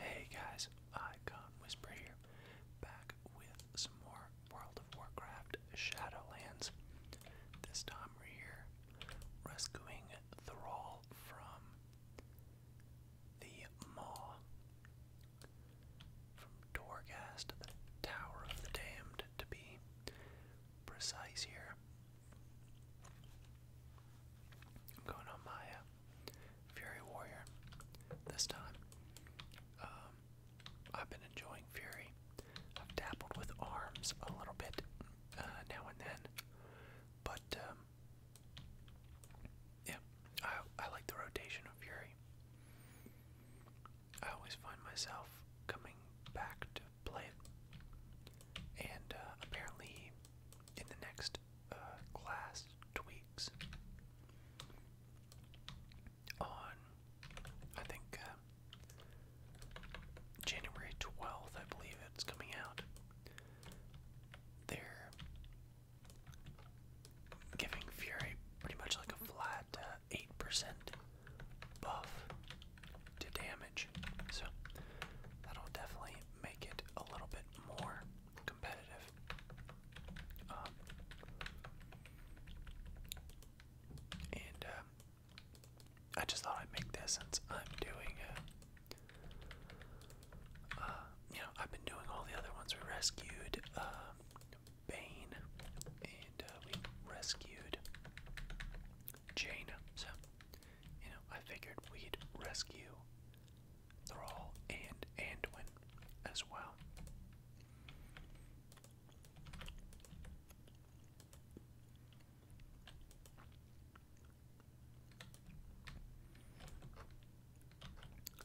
Hey guys, Icon Whisper here, back with some more World of Warcraft Shadowlands. This time we're here rescuing Thrall from the Maw, from Torghast, the Tower of the Damned to be precise here. I'm going on my uh, Fury Warrior this time. Um, I've been enjoying Fury. I've dabbled with arms a little bit uh, now and then, but um, yeah, I, I like the rotation of Fury. I always find myself coming back to play And uh, apparently, in the next uh, class tweaks on, I think, uh, January 12th, I believe it's coming out. They're giving Fury pretty much like a flat 8% buff to damage. So that'll definitely make it a little bit more competitive. Um, and uh, I just thought I'd make this since I'm doing, uh, uh, you know, I've been doing all the other ones. We rescued uh, Bane, and we rescued Jane. So, you know, I figured we'd rescue Thrall and Anduin as well.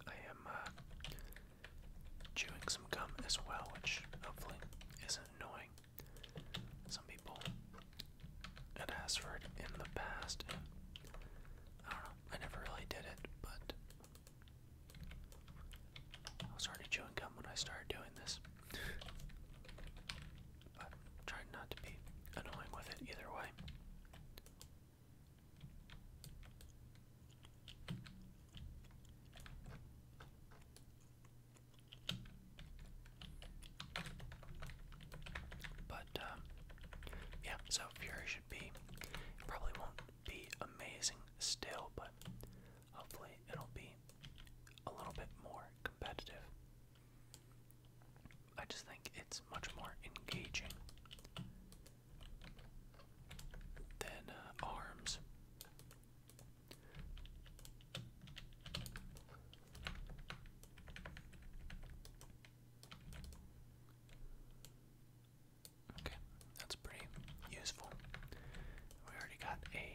I am uh, chewing some gum as well, which hopefully isn't annoying. Some people had asked for it in the past, and I don't know, I never really did it, but I was already chewing gum when I started doing this. i trying not to be annoying with it either way. But um, yeah, so Fury should be. probably won't be amazing still, but hopefully it'll be a little bit more competitive. I just think it's much more engaging than uh, ARMS. Okay, that's pretty useful. We already got a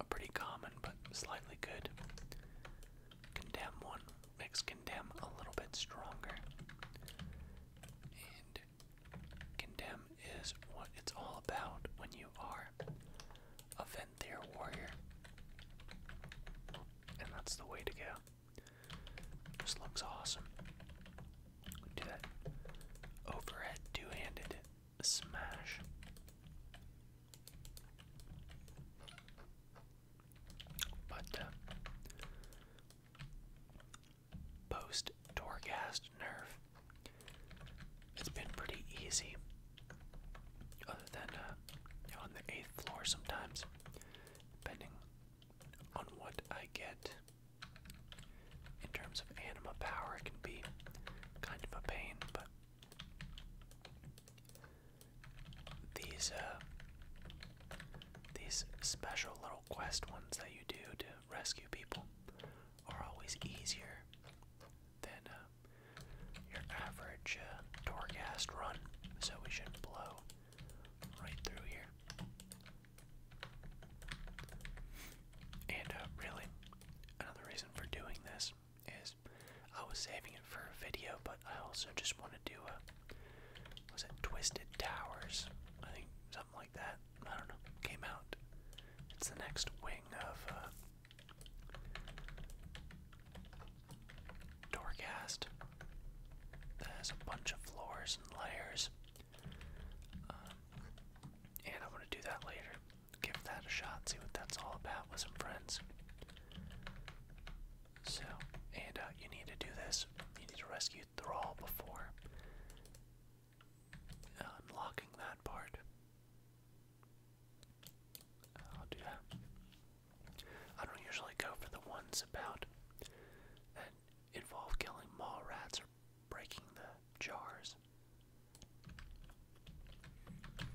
a pretty common but slightly good condemn one. Makes condemn a little bit stronger. And condemn is what it's all about when you are a then they're warrior. And that's the way to go. This looks awesome. Do that overhead two-handed smash. But uh, post Torghast nerf it's been pretty easy, other than uh, on the eighth floor sometimes, depending on what I get. In terms of anima power, it can be kind of a pain, but these uh, these special little quest ones that you do to rescue people are always easier than uh, your average uh, run, so we shouldn't blow right through here. And uh, really, another reason for doing this is I was saving it for a video, but I also just want to do a was it Twisted Towers? I think something like that. I don't know. Came out. It's the next wing of uh, Doorcast that has a bunch of floors and layers. Um, and I'm going to do that later. Give that a shot, see what that's all about with some friends. So, and uh, you need to do this. You need to rescue Thrall before unlocking that part. Oh, I'll do that. I don't usually go for the ones about that involve killing mall rats or breaking the jars.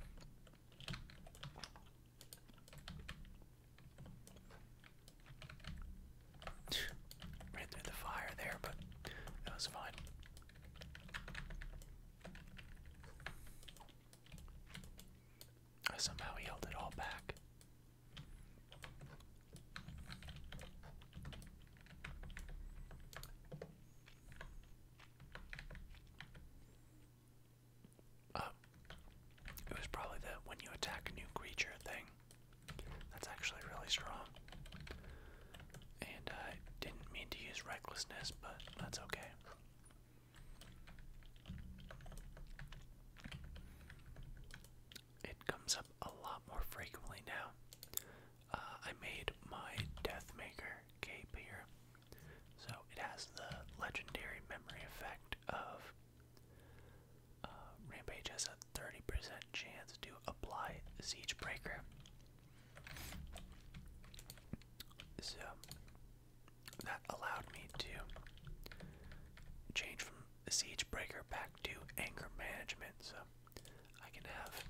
Ran through the fire there, but that was fine. I somehow held it all back. Oh, it was probably the when you attack a new creature thing. That's actually really strong. And I didn't mean to use recklessness, but that's okay. It comes up a lot more frequently now. Uh, I made my Deathmaker cape here. So it has the legendary memory effect of uh, Rampage has a 30% chance to apply Siege so that allowed me to change from siege breaker back to anger management. So I can have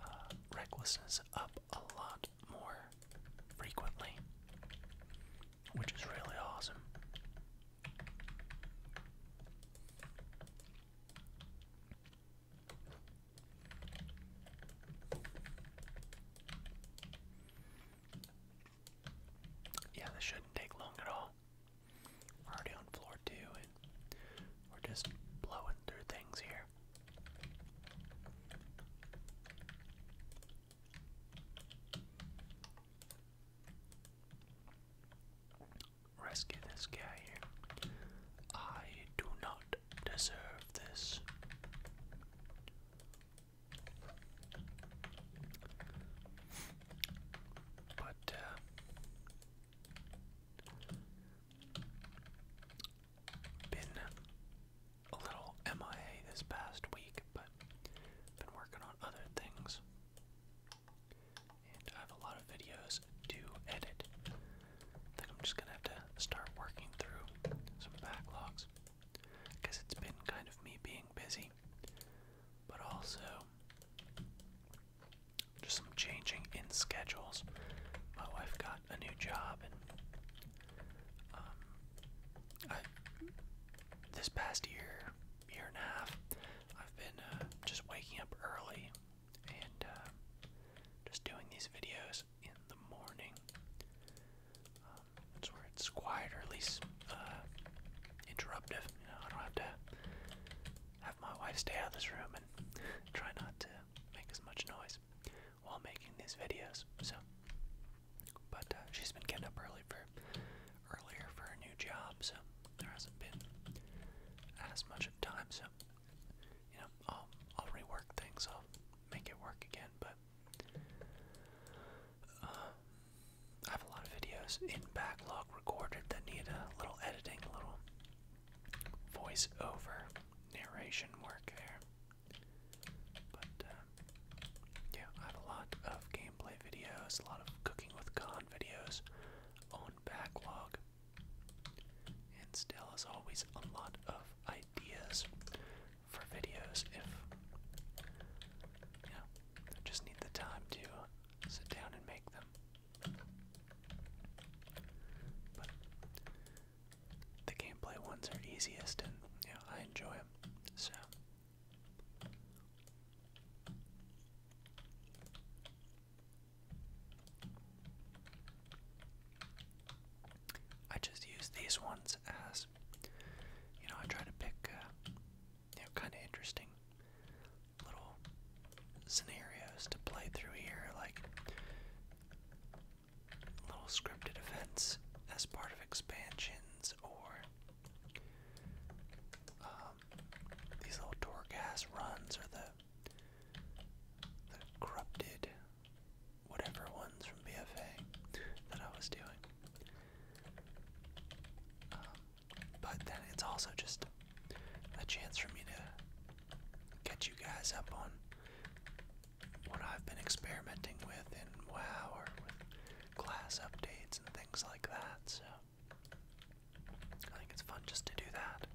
uh, recklessness up a lot more frequently, which is really awesome. Yeah, this shouldn't take long at all. We're already on floor two and we're just blowing through things here rescue this guy here. I do not deserve this. But, uh, been a little MIA this past week, but been working on other things. I have a lot of videos to edit. I think I'm just gonna have to start working through some backlogs. Because it's been kind of me being busy, but also just some changing in schedules. My wife got a new job, and um, this past year, year and a half, I've been uh, just waking up early and um, just doing these videos in the morning. Um, thats where it's quiet or at least uh, interruptive. You know, I don't have to have my wife stay out of this room and try not to make as much noise while making these videos. So, but uh, she's been getting up early for earlier for a new job, so there hasn't been as much time, so you know, I'll I'll rework things, I'll make it work again, but uh, I have a lot of videos in backlog recorded that need a little editing, a little voice over narration work there. But uh, yeah, I have a lot of gameplay videos, a lot of cooking with con videos backlog. And still, as always, a lot of ideas for videos if you know, just need the time to sit down and make them. But the gameplay ones are easiest and you I enjoy them. So I just use these ones as, you know, I try to pick, uh, you know, kind of interesting little scenarios to play through here, like little scripted events as part of expansions or um, these little Torghast runs are the the corrupted whatever ones from BFA that I was doing. Um, but then it's also just a chance for me to get you guys up on what I've been experimenting with in WoW or with class updates and things like that. So I think it's fun just to do that.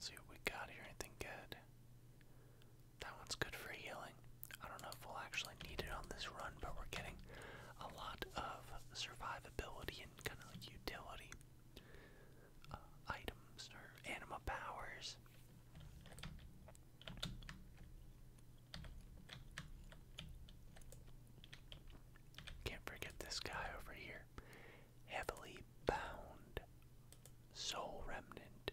see what we got here. Anything good? That one's good for healing. I don't know if we'll actually need it on this run, but we're getting a lot of survivability and kind of utility uh, items or animal powers. Can't forget this guy over here. Heavily bound. Soul remnant.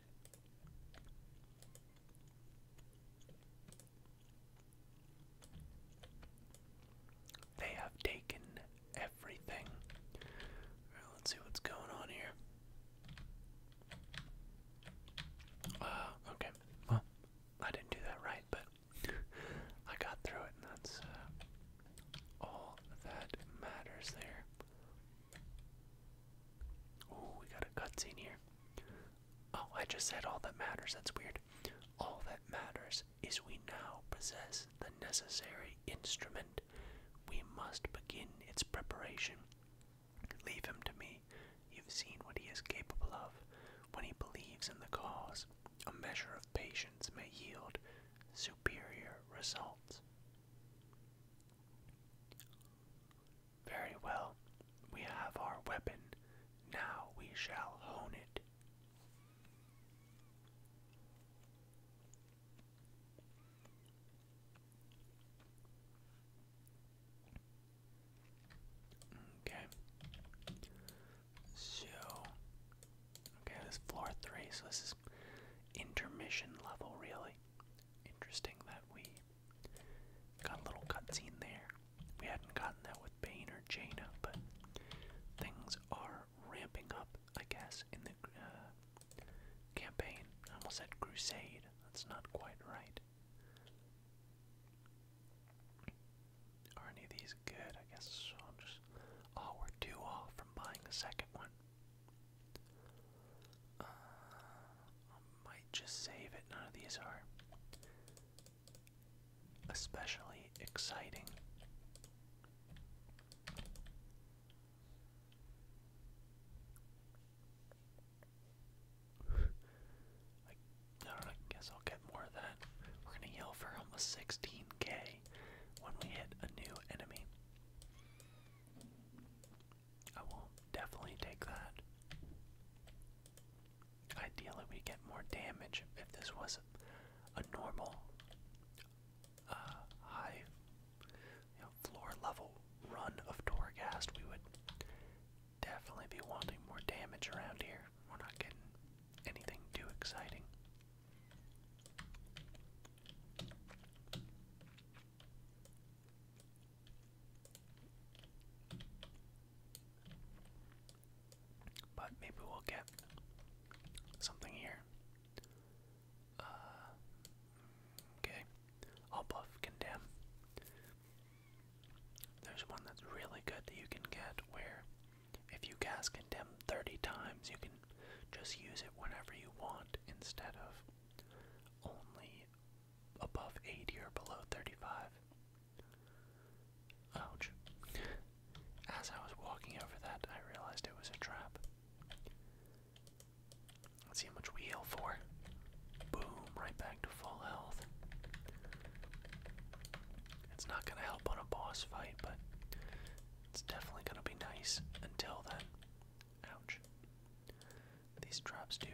They have taken everything. let's see what's going on here. Uh, okay. Well, I didn't do that right, but I got through it, that's uh, all that matters there. Oh, we got a cutscene here. Oh, I just said all that matters. That's weird. All that matters is we now possess the necessary instrument. We must begin its preparation Leave him to me. You've seen what he is capable of when he believes in the cause. A measure of patience may yield superior results. Very well, we have our weapon. Now we shall hone it. Okay. So okay, this is floor three, so this is intermission level really. Interesting that we got a little cutscene there. We hadn't gotten that with Bane or Jaina, but things are ramping up, I guess, in the uh, Campaign. I almost said crusade. That's not quite right. Are any of these good? I guess I'll just. Oh, we're two off from buying the second one. Uh, might just save it. None of these are especially exciting. I, guess I'll get more of that. We're gonna yell for almost 16k when we hit a new enemy. I will definitely take that. Ideally, we get more damage if this was a normal uh, high floor level run of Torghast, we would definitely be wanting more damage around here. We're not getting anything too exciting. But maybe we'll get something here. Uh, okay. I'll buff condemn. There's one that's really good that you can get where if you cast condemn 30 times, you can just use it whenever you want instead of only above 80 or below 35. Ouch. As I was walking over that, I realized it was a trap. Let's see how much we heal for. Boom, right back to full health. It's not gonna help on a boss fight, but it's definitely gonna be nice until then. Ouch. These drops do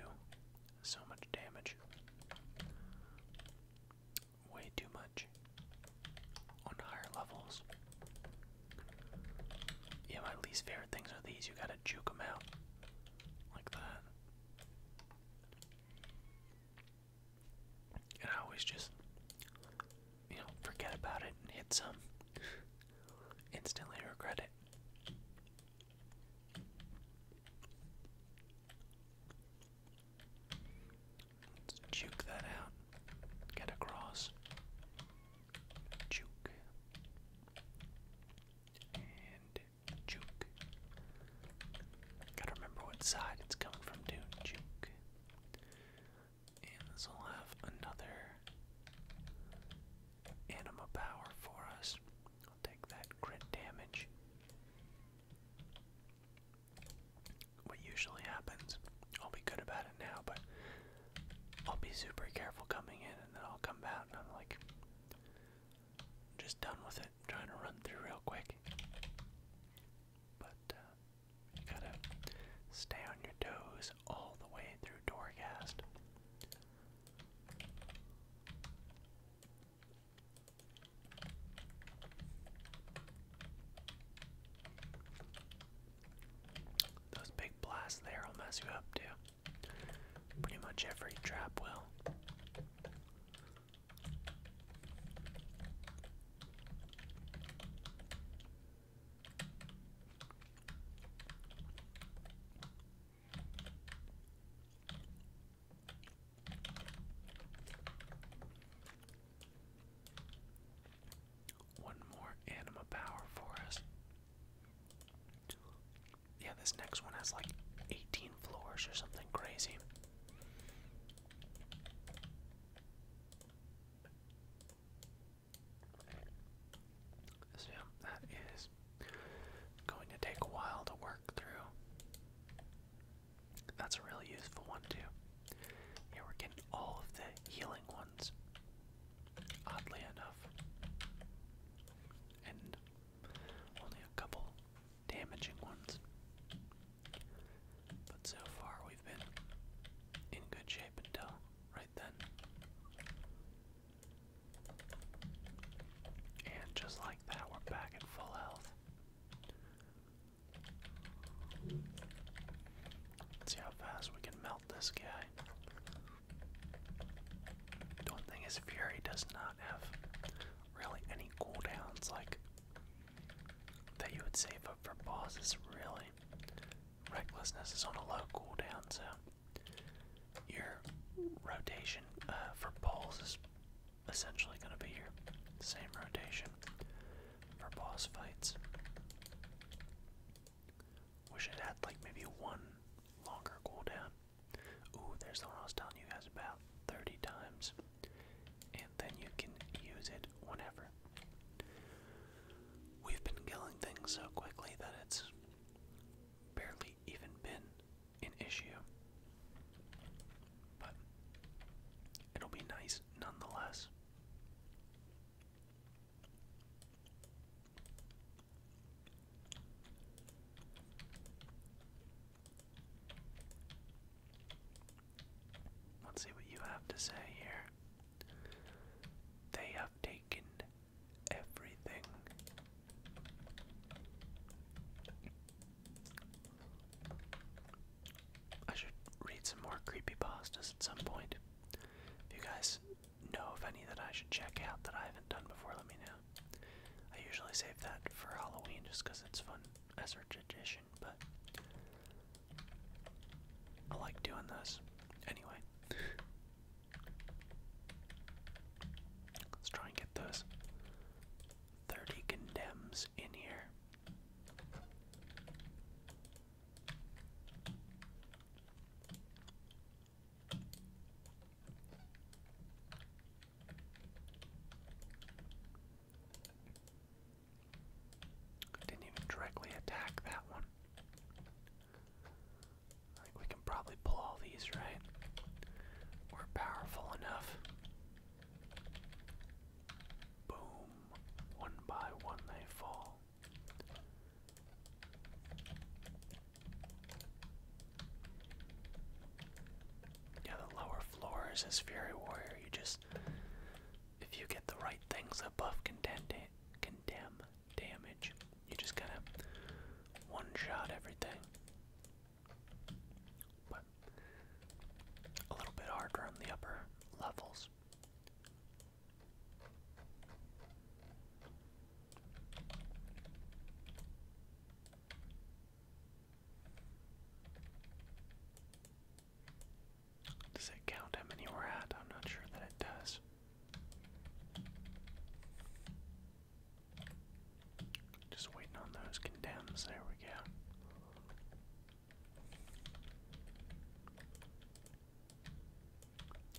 so much damage. Way too much on higher levels. Yeah, my least favorite things are these. You gotta juke them out like that. And I always just, you know, forget about it and hit some. Instantly regret it. Let's juke that out. Get across juke, and juke. Gotta remember what side it's coming from, too. Juke. And this will have another anima power for us. I'll take that crit damage. What usually happens, I'll be good about it now, but I'll be super careful coming in and then I'll come out and I'm like just done with it. trying to run through real quick. But uh, you gotta stay on your toes all the way through Doorcast. Those big blasts there will mess you up too. Pretty much every trap will. One more anima power for us. Yeah, this next one has like 18 floors or something crazy. So, that is going to take a while to work through. That's a really useful one, too. Yeah, we're getting all of the healing ones oddly enough. And only a couple damaging ones. But so far we've been in good shape until right then. And just like that, we're back at full health. see how fast we melt this guy. Don't think his fury does not have really any cooldowns like that you would save up for bosses really. Recklessness is on a low cooldown, so your rotation uh, for balls essentially going to be your same rotation for boss fights. Wish it had like maybe one longer cooldown. Ooh, there's the one I was telling you guys about 30 times. And then you can use it whenever. We've been killing things so quickly that it's barely even been an issue. But it'll be nice nonetheless. Let's see what you have to say here. They have taken everything. I should read some more creepy pastas at some point. you guys know of any that I should check out that I haven't done before, let me know. I usually save that for Halloween just because it's fun as a tradition, but I like doing this. Anyway, let's try and get those 30 condemns in here. I didn't even directly attack that one. I think we can probably pull all these, right? We're powerful enough. Boom. One by one they fall. Yeah, the lower floors is Fury Warrior. You just, if you get the right things above condemn, condemn damage, you just kind to one shot everything. But a little bit harder on the upper levels. Does it count how many we're at? I'm not sure that it does. Just waiting on those condemns. There we go.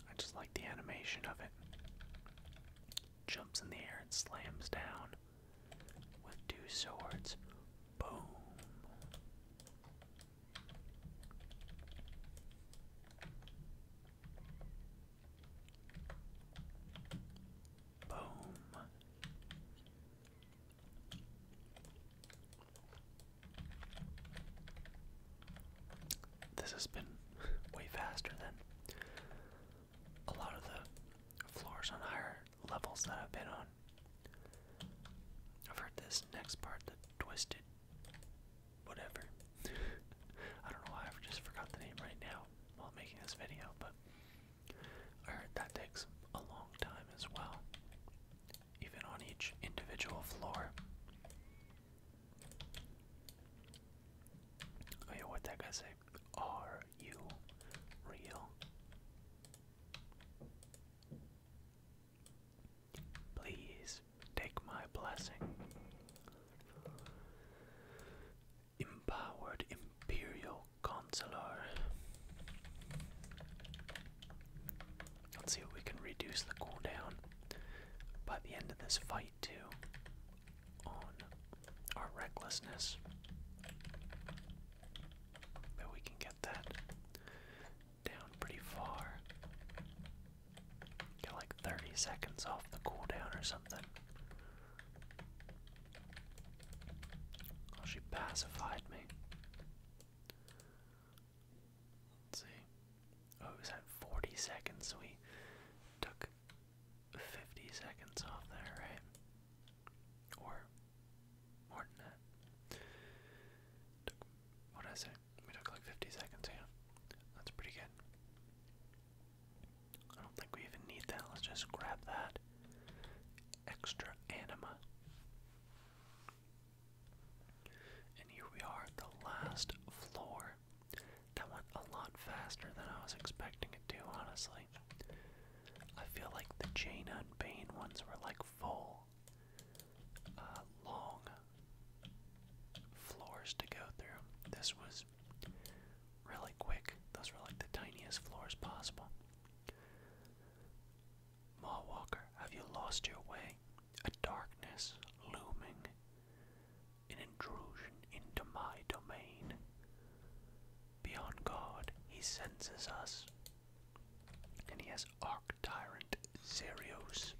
I just like the animation of it. Jumps in the air and slams down with two swords. Boom. Boom. This has been way faster than a lot of the floors on higher levels that I've been on. I've heard this next part, the twisted whatever. I don't know why I've just forgot the name right now while making this video, but I heard that takes a long time as well even on each individual floor. Oh yeah, what that guy say? Are you real? Please take my blessing. Empowered Imperial Consular. Let's see if we can reduce the cooldown by the end of this fight too on our recklessness. But we can get that down pretty far. Get like 30 seconds off the cooldown or something. Oh, she pacified me. Let's see. Oh, it was 40 seconds, we took 50 seconds off there, right? Or more than that. Took, what did I say? We took like 50 seconds, yeah. That's pretty good. I don't think we even need that. Let's just grab that extra anima. And here we are at the last floor. That went a lot faster than I was expecting it to, honestly. I feel like the Jaina and Bane ones were like full, uh, long floors to go through. This was really quick. Those were like the tiniest floors possible. Ma have you lost your way? A darkness looming, an intrusion into my domain. Beyond God, he senses us, and he has Arc Tyrant Zerios.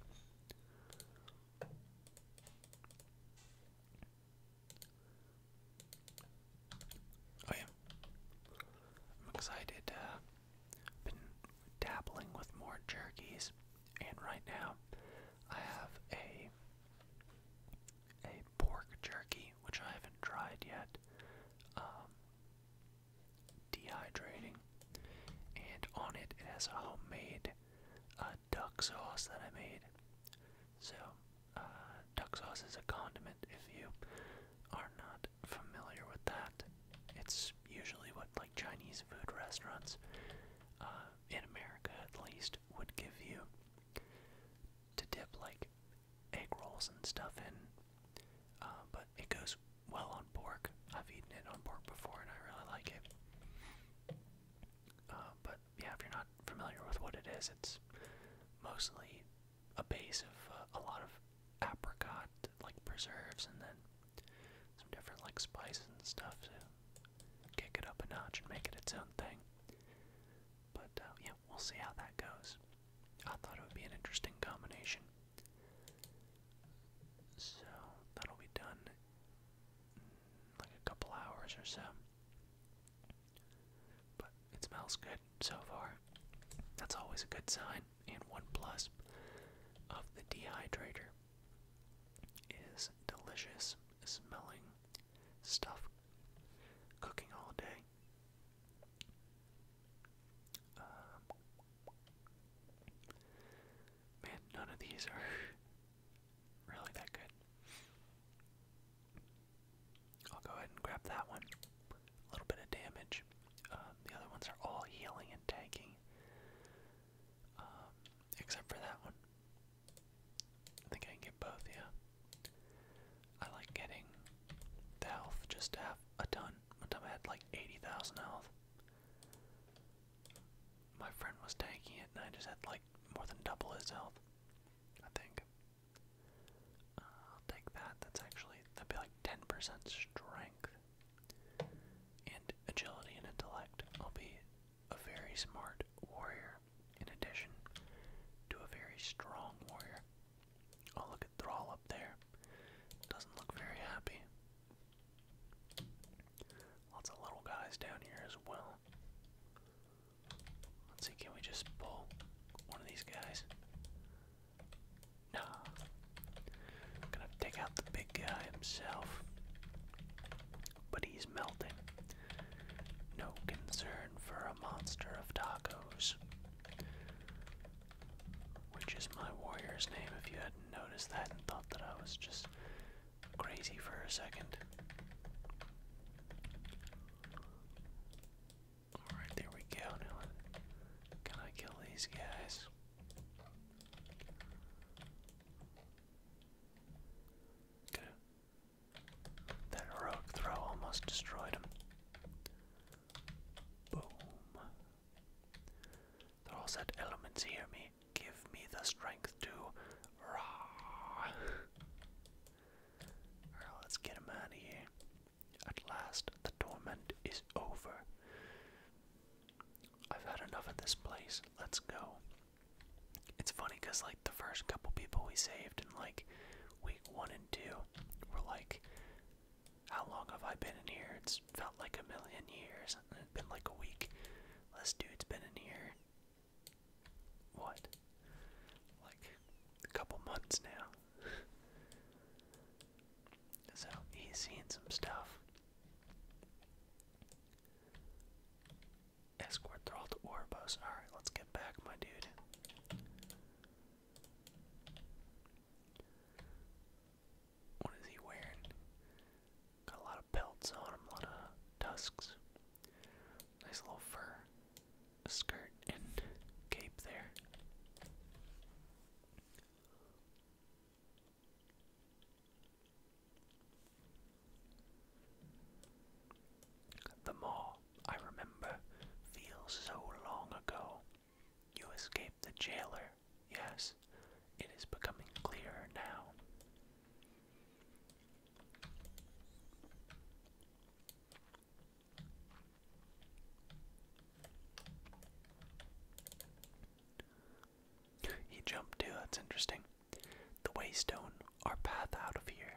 Oh, I'm excited. Uh, been dabbling with more jerkies, and right now I have a a pork jerky which I haven't tried yet. Um, dehydrating, and on it it has a homemade uh, duck sauce that I made. So, uh, duck sauce is a condiment if you are not familiar with that. It's usually what like Chinese food restaurants uh, in America at least would give you to dip like egg rolls and stuff in. Uh, but it goes well on pork. I've eaten it on pork before and I really like it. Uh, but yeah, if you're not familiar with what it is, it's mostly a base of uh, a lot of apricot like preserves and then some different like spices and stuff to kick it up a notch and make it its own thing. But uh, yeah, we'll see how that goes. I thought it would be an interesting combination. So that'll be done in like a couple hours or so. But it smells good so far. That's always a good sign and 1 Plus of the dehydrator is delicious smelling stuff cooking all day. Um, man, none of these are really that good. I'll go ahead and grab that one a little bit of damage. Um, the other ones are all healing and tanking, um, except for that one. I think I can get both, yeah. I like getting the health just to have a ton. One time I had like 80,000 health. My friend was tanking it, and I just had like more than double his health, I think. I'll take that. That's actually, that'd be like 10% strength and agility and intellect. I'll be a very smart warrior in addition to a very strong warrior. Oh, look at Thrall up there. Doesn't look very happy. Lots of little guys down here as well. Let's see, can we just pull one of these guys? No. I'm gonna take out the big guy himself. But he's melting. No concern for a monster of tacos. Which is my warrior's name, if you hadn't noticed that and thought that I was just crazy for a second. Alright, there we go. Now, can I kill these guys? Good. That rogue throw almost destroyed him. Boom. They're all set elements hear me. Give me the strength to raw. Alright, let's get him out of here. At last, the torment is over. I've had enough of this place. Let's go. It's funny because, like, the first couple people we saved in, like, week one and two were like, How long have I been in here? It's felt like a million years. it's been like a week. This dude's been in here. What? Like, a couple months now. so he's seen some stuff. Escort Thrall to Orbos. Alright, let's get back, my dude. What is he wearing? Got a lot of pelts on him, a lot of tusks. Nice little fur skirt and cape there. The mall, I remember, feels so long ago. You escaped the jailer, yes, it is becoming clearer now. He jumped too, that's interesting. The waystone, our path out of here.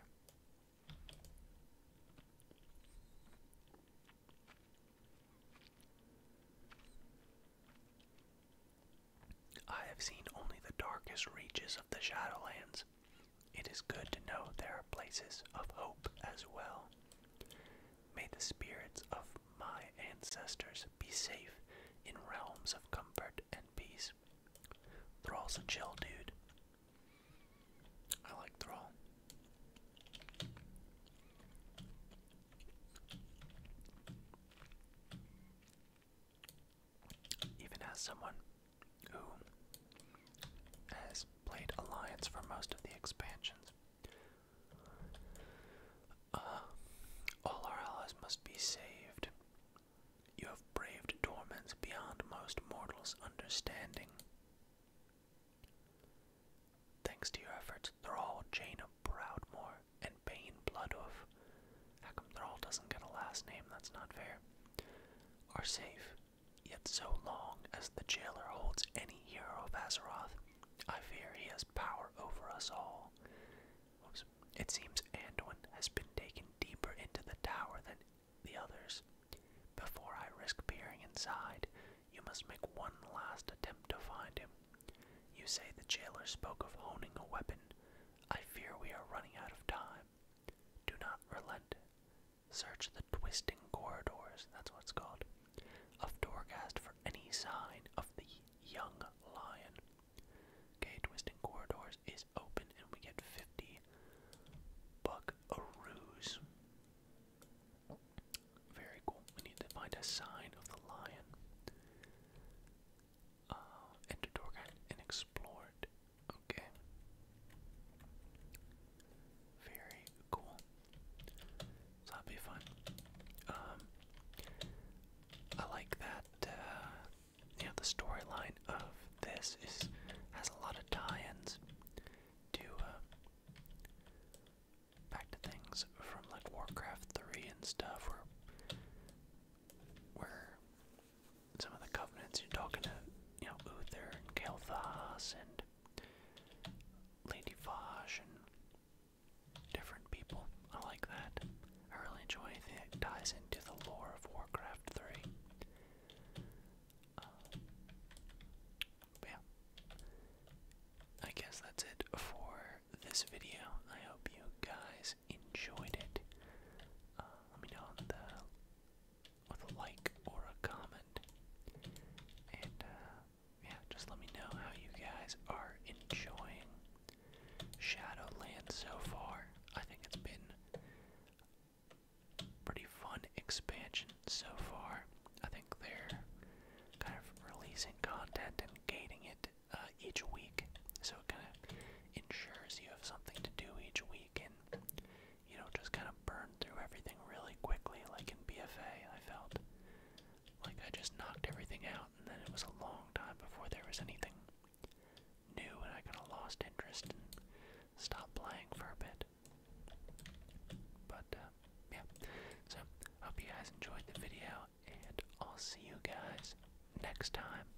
I have seen only the darkest reaches of the Shadowlands, it is good to know there are places of hope as well. May the spirits of my ancestors be safe in realms of comfort and peace. Thrall's a chill dude. I like Thrall. Even as someone who has played Alliance for most of the expansions. Uh, all our allies must be saved. You have braved torments beyond most mortals' understanding. Thanks to your efforts, Thrall, Jane of and Bane Bloodhoof. How come Thrall doesn't get a last name? That's not fair. Are safe. Yet so long as the jailer holds any hero of Azeroth, I fear he has power over us all. It seems Anduin has been taken deeper into the tower than the others. Before I risk peering inside, you must make one last attempt to find him. You say the jailer spoke of honing a weapon. I fear we are running out of time. Do not relent. Search the twisting corridors, that's what's it's called, of Dorcast for any sign of the young lion. Okay, twisting corridors is open and we get 50 buckaroos. Very cool. We need to find a sign of the lion. Uh, enter Dorcast and explore it. Okay. Very cool. So that'll be fun. Um, I like that. Uh, yeah, the storyline of this is has a lot of tie-ins to uh, back to things from like Warcraft Three and stuff, where where some of the covenants you're talking to you know, Uther and Kael'thas and Lady Fosh and different people. I like that. I really enjoy anything that ties into the lore of Warcraft 3. Uh, yeah. I guess that's it for this video. I hope you guys enjoyed it. Uh, let me know in the with a like or a comment. And uh, yeah, just let me know how you guys are enjoying Shadowland so far. I think it's been pretty fun expansion so far. I think they're kind of releasing content and gating it uh, each week, so it kind of ensures you have something to do each week you know, just kind of burned through everything really quickly, like in BFA, I felt. Like I just knocked everything out, and then it was a long time before there was anything new, and I kind of lost interest and stopped playing for a bit. But, uh, yeah. So, hope you guys enjoyed the video, and I'll see you guys next time.